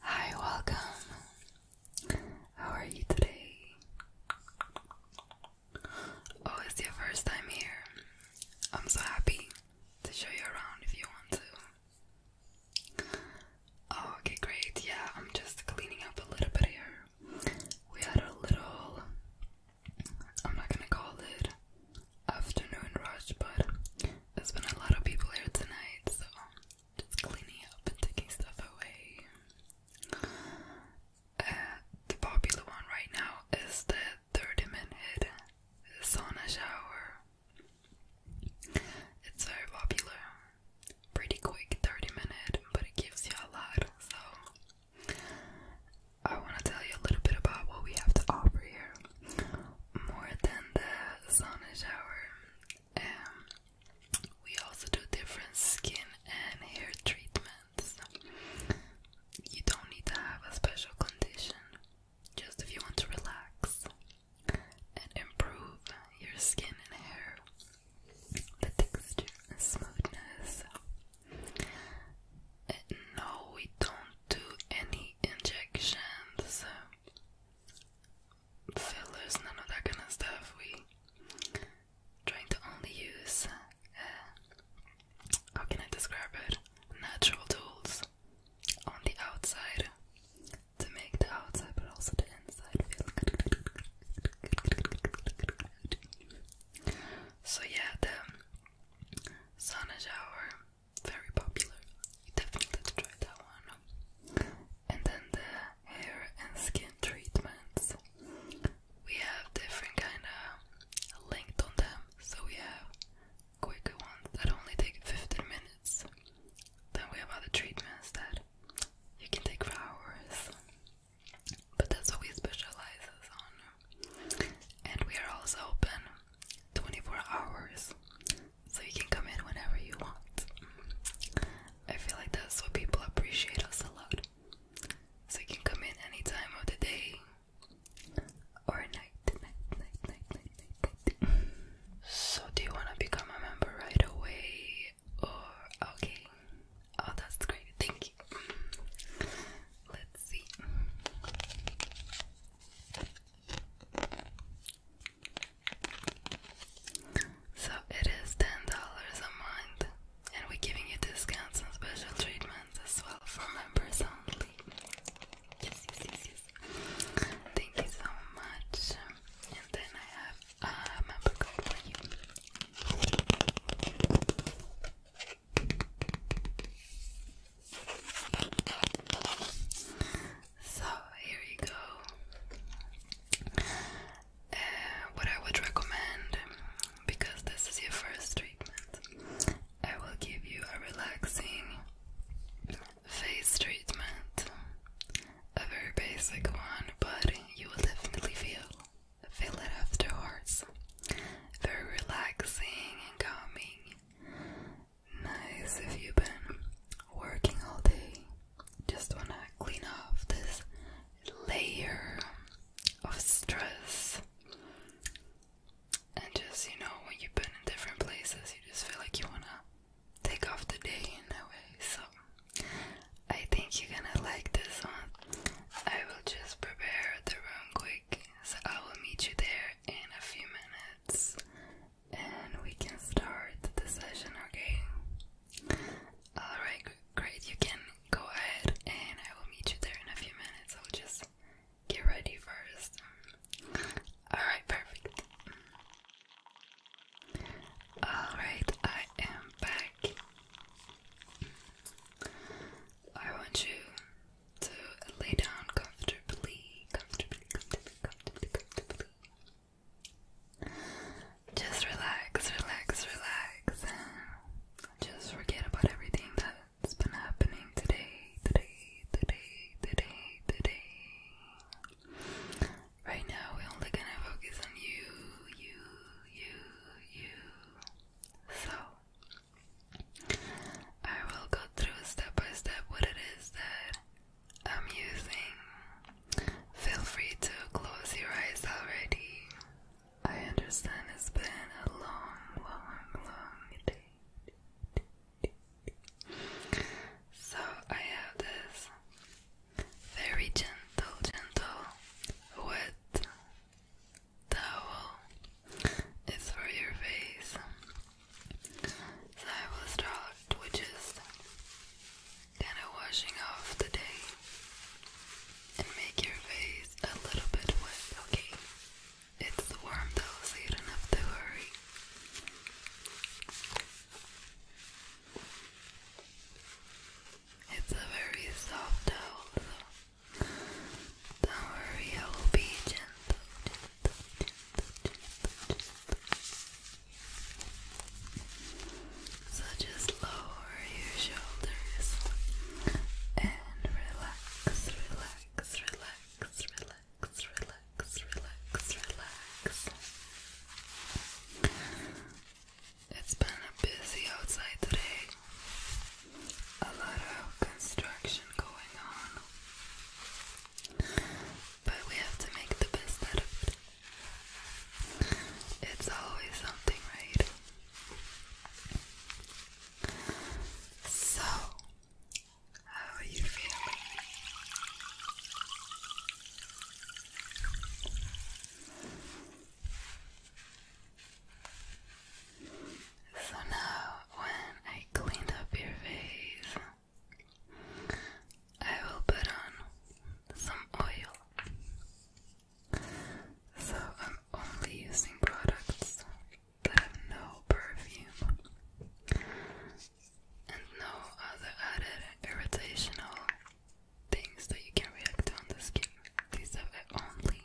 Hi, welcome. How are you today? Oh, it's your first time here. I'm so happy to show you around if you want to. Oh, okay, great. Yeah, I'm just cleaning up a little bit here. We had a little, I'm not gonna call it afternoon rush, but there's been a lot of people here tonight, so just cleaning up and taking stuff away. Uh, the popular one right now is the 30 minute sauna shower. It's very popular. Pretty quick 30 minute, but it gives you a lot. So I want to tell you a little bit about what we have to offer here. More than the sauna shower, um, we also do different skin and hair treatments. You don't need to have a special condition. Just if you want to relax and improve your skin and hair, the texture smoothness. no, we don't do any injections, fillers, none of that kind of stuff. We trying to only use uh, how can I describe it? Natural tools on the outside to make the outside but also the inside feel So yeah, the sauna shower, very popular. You definitely have to try that one. And then the hair and skin treatments. We have different kind of linked on them. So we have quicker ones that only take 15 minutes. Then we have other treatments that you can take for hours. But that's what we specialize on. And we are also open 24 hours. So you can come in whenever you want. I feel like that's what people appreciate us a lot. So you can come in any time of the day, or night, night, night, night, night, night, night. so do you wanna become a member right away or okay? Oh that's great, thank you. Let's see. So it is ten dollars a month and we're giving you discounts and special treatment as well for members only. Yes, yes, yes, yes. Thank you so much. And then I have a member code for you. So here you go. Uh, what I would recommend because this is your first treatment, I will give you a relaxing face treatment. A very basic one, but you will definitely feel feel it afterwards. Very relaxing and calming. Nice if you've been working all day. Just wanna clean off this layer of stress and just, you know, when you've been in different places, you just feel like you want to take off the day in a way. So, I think you're gonna like this one. I will just prepare the room quick. So, I will meet you there in a few minutes and we can start the session, okay? Alright, great. You can go ahead and I will meet you there in a few minutes. I'll just get ready first. Alright, perfect. Alright, I am back. I want you to lay down comfortably, comfortably, comfortably, comfortably, comfortably. Just relax, relax, relax. Just forget about everything that's been happening today, today, today, today, today. Right now, we're only gonna focus on you, you, you, you. So, I will go through step by step what it is that I'm using. Feel free to close your eyes already. I understand it's been a long, long, long day. So I have this very gentle, gentle wet towel. It's for your face. So I will start with just kind of washing off the day and make your face a little bit wet, okay? It's warm though, so you don't have to hurry. It's a very soft towel, so don't worry, I will be gentle. So just lower your shoulders and relax, relax, relax, relax, relax, relax, relax. It's been a busy outside today. A lot of construction going on. But we have to make the best out of it. It's always something, right? So, how are you feeling? So now, when I cleaned up your face, I will put on some oil. So I'm only using products that have no perfume and no other added irritational things that you can react to on the skin. These have only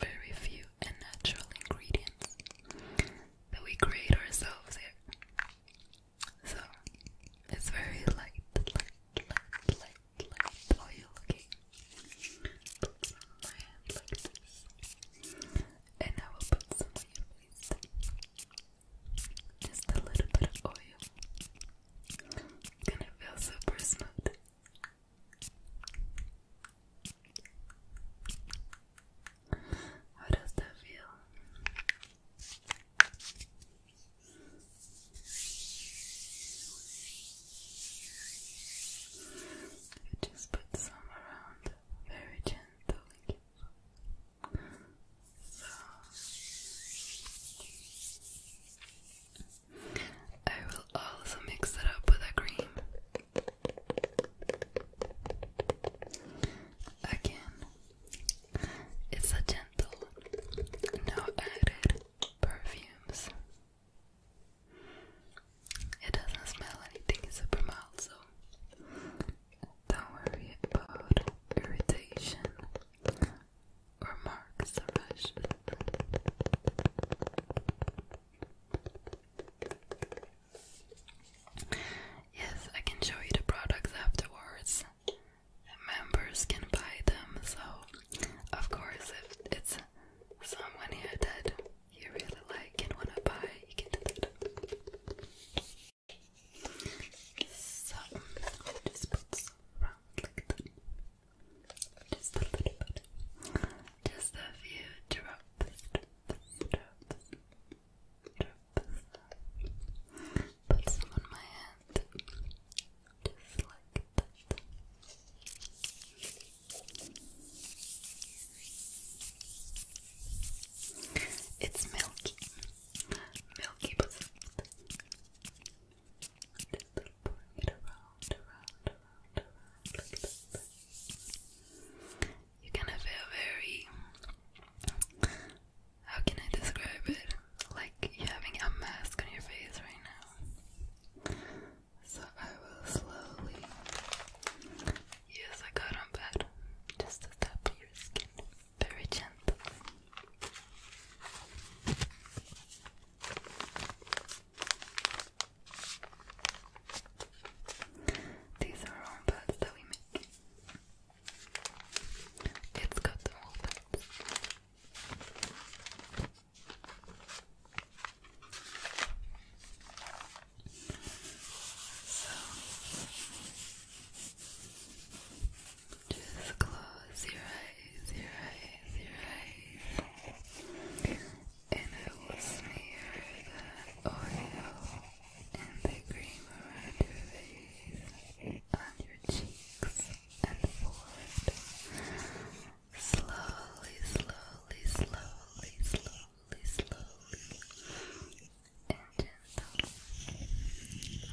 very few and natural ingredients that we create ourselves here. So it's very light, light, light, light hand like oil looking. Put it on my hand like this. And I will put some on your face. Just a little bit of oil. It's gonna feel super smooth. How does that feel? Just put some around very gently. I will also mix it up with a cream. Again, it's a gentle, no added perfumes. It doesn't smell anything super mild, so don't worry about irritation or marks Yes, I can show you the products afterwards members can buy them. So, of course, if it's someone here that you really like and want to buy, you can do that. So, just put some around Just a little bit. Just a few Drops put some on my hand. Just like that. It's milky. Milky but soft. Just pouring it around, around, around, around like that. You can have very how can I describe it? Like you're having a mask on your face right now. So I will slowly. Yes, I got on bed. Just to tap your skin. Very gentle. These are our own that we make. It's got the whole thing. just close your eyes, your eyes, your eyes, and I will smear the oil and the cream around your face on your cheeks and forehead. Slowly, slowly, slowly, slowly, slowly. And gentle.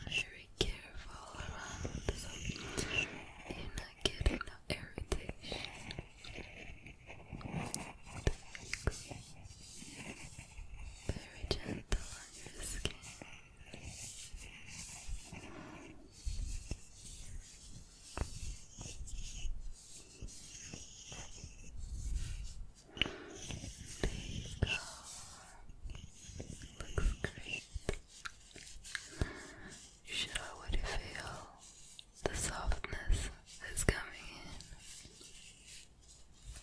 very careful around so you're not getting no irritation. Very gentle your There you go. Looks great. You should already feel the softness that's coming in.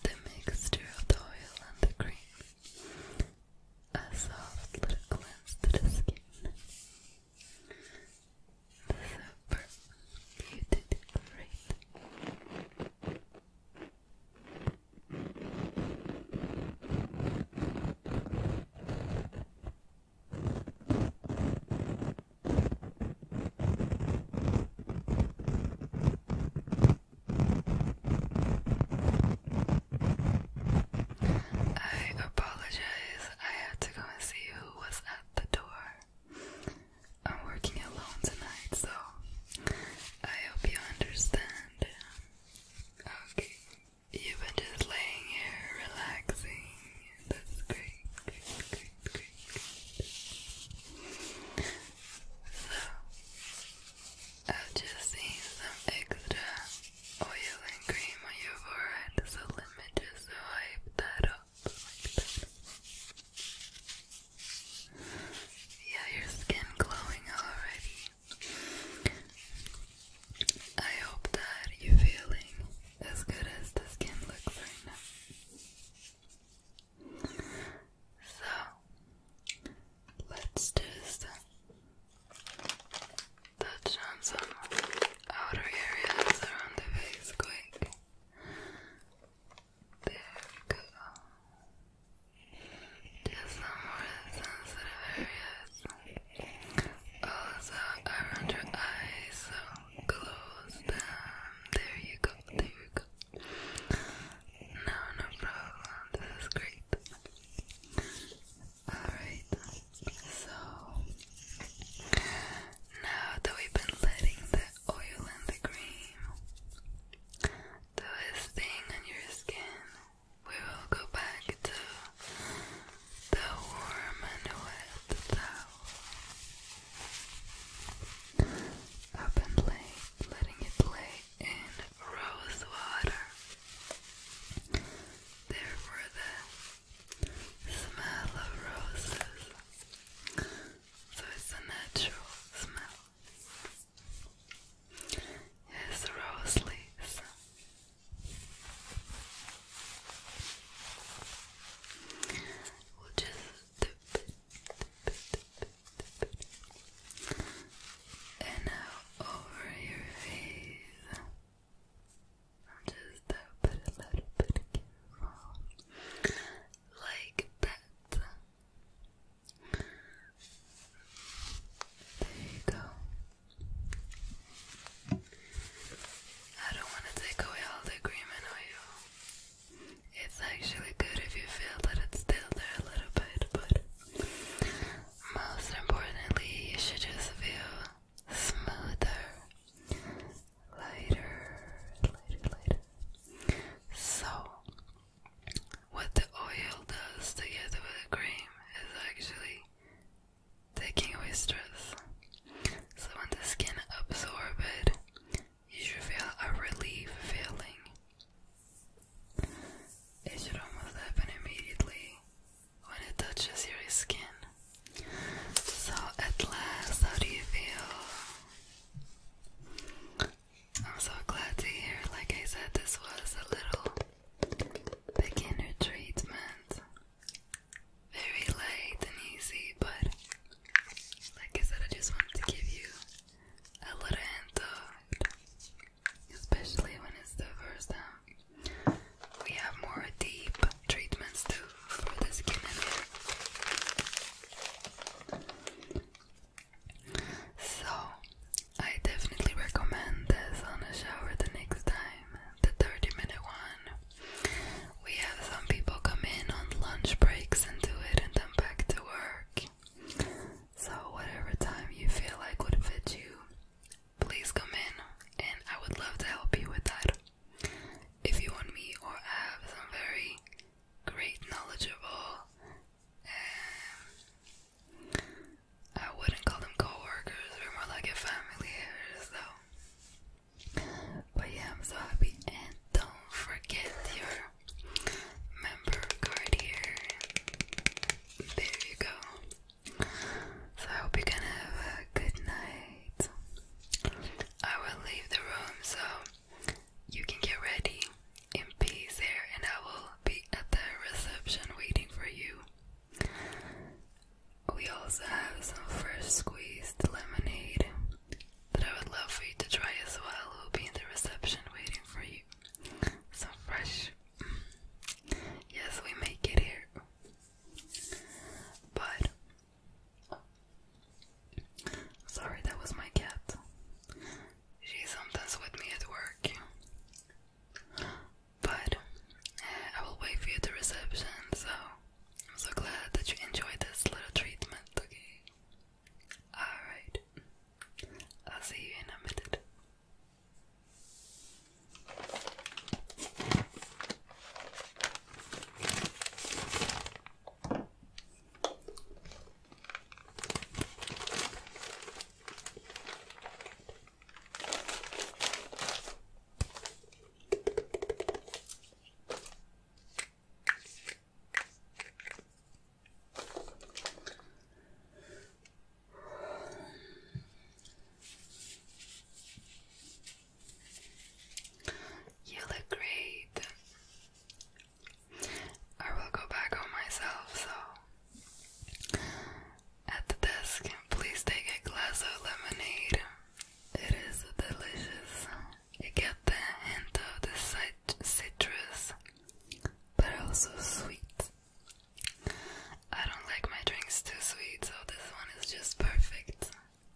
The mixture of the oil and the cream. A soft little cleanse to the skin. Super. You did great. I apologize. I had to go and see who was at the door. I'm working alone tonight, so I hope you understand. Okay. You've been just laying here relaxing. That's great, great, great, great so, i just seen some extra oil and cream on your forehead, so let me just wipe that off Yeah, your skin glowing already. I hope that you're feeling as good as the skin looks right now. So let's do this then. Touch on some outer areas around the face quick. There we go. Just some more sensitive areas. Also around your eyes, so close them. There you go, there you go. No, no problem. This is great. Alright, so now that we've been letting the oil and the cream do its thing on your skin, we will go back to the warm and wet towel up and lay, letting it lay in rose water. There were the smell of roses, so it's a natural smell. Yes, rose leaves. We'll just and now over your face. I'll just uh, a little bit careful. Like that. There you go. I don't want to take away all the cream and oil. It's actually good if you feel that it's still there a little bit, but most importantly, you should just feel smoother, lighter, lighter, lighter. So, what the oil does together with the cream is actually taking away stress. So when the skin absorbs it, you should feel a relief feeling. It should almost happen immediately when it touches your skin. So at last, how do you feel? I'm so glad to hear, like I said, this was a little beginner treatment very light and easy, but like I said, I just wanted to give you a little hint especially when it's the first time. We have more deep treatments too for the skin and So, I definitely recommend this on the shower the next time, the 30 minute one we have some people come in on lunch breaks and do it and then back to work. So, whatever time you feel like would fit you, please come in and I would love to help you with that. If you want me or I have some very great, knowledgeable, um, I wouldn't call them coworkers. workers they're more like a family here, so but yeah, I'm so happy. And don't forget your member card here. There you go. So I hope you can have a good night. I will leave the room so you can get ready in peace there, and I will be at the reception waiting for you. We also have some fresh squeezed lemonade that I would love for you to try as well. It will be in the reception waiting for you. Some fresh. Mm, yes, we make it here. But. Sorry, that was my cat. She's sometimes with me at work. But I will wait for you at the reception. So I'm so glad that you enjoyed this little treatment. Okay. All right. I'll see you in a minute. You look great. I will go back on myself, so at the desk, please take a glass of lemonade. It is delicious. You get the hint of the cit citrus, but also sweet. I don't like my drinks too sweet, so this one is just perfect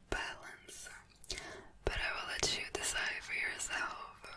balance. But I will let you decide for yourself.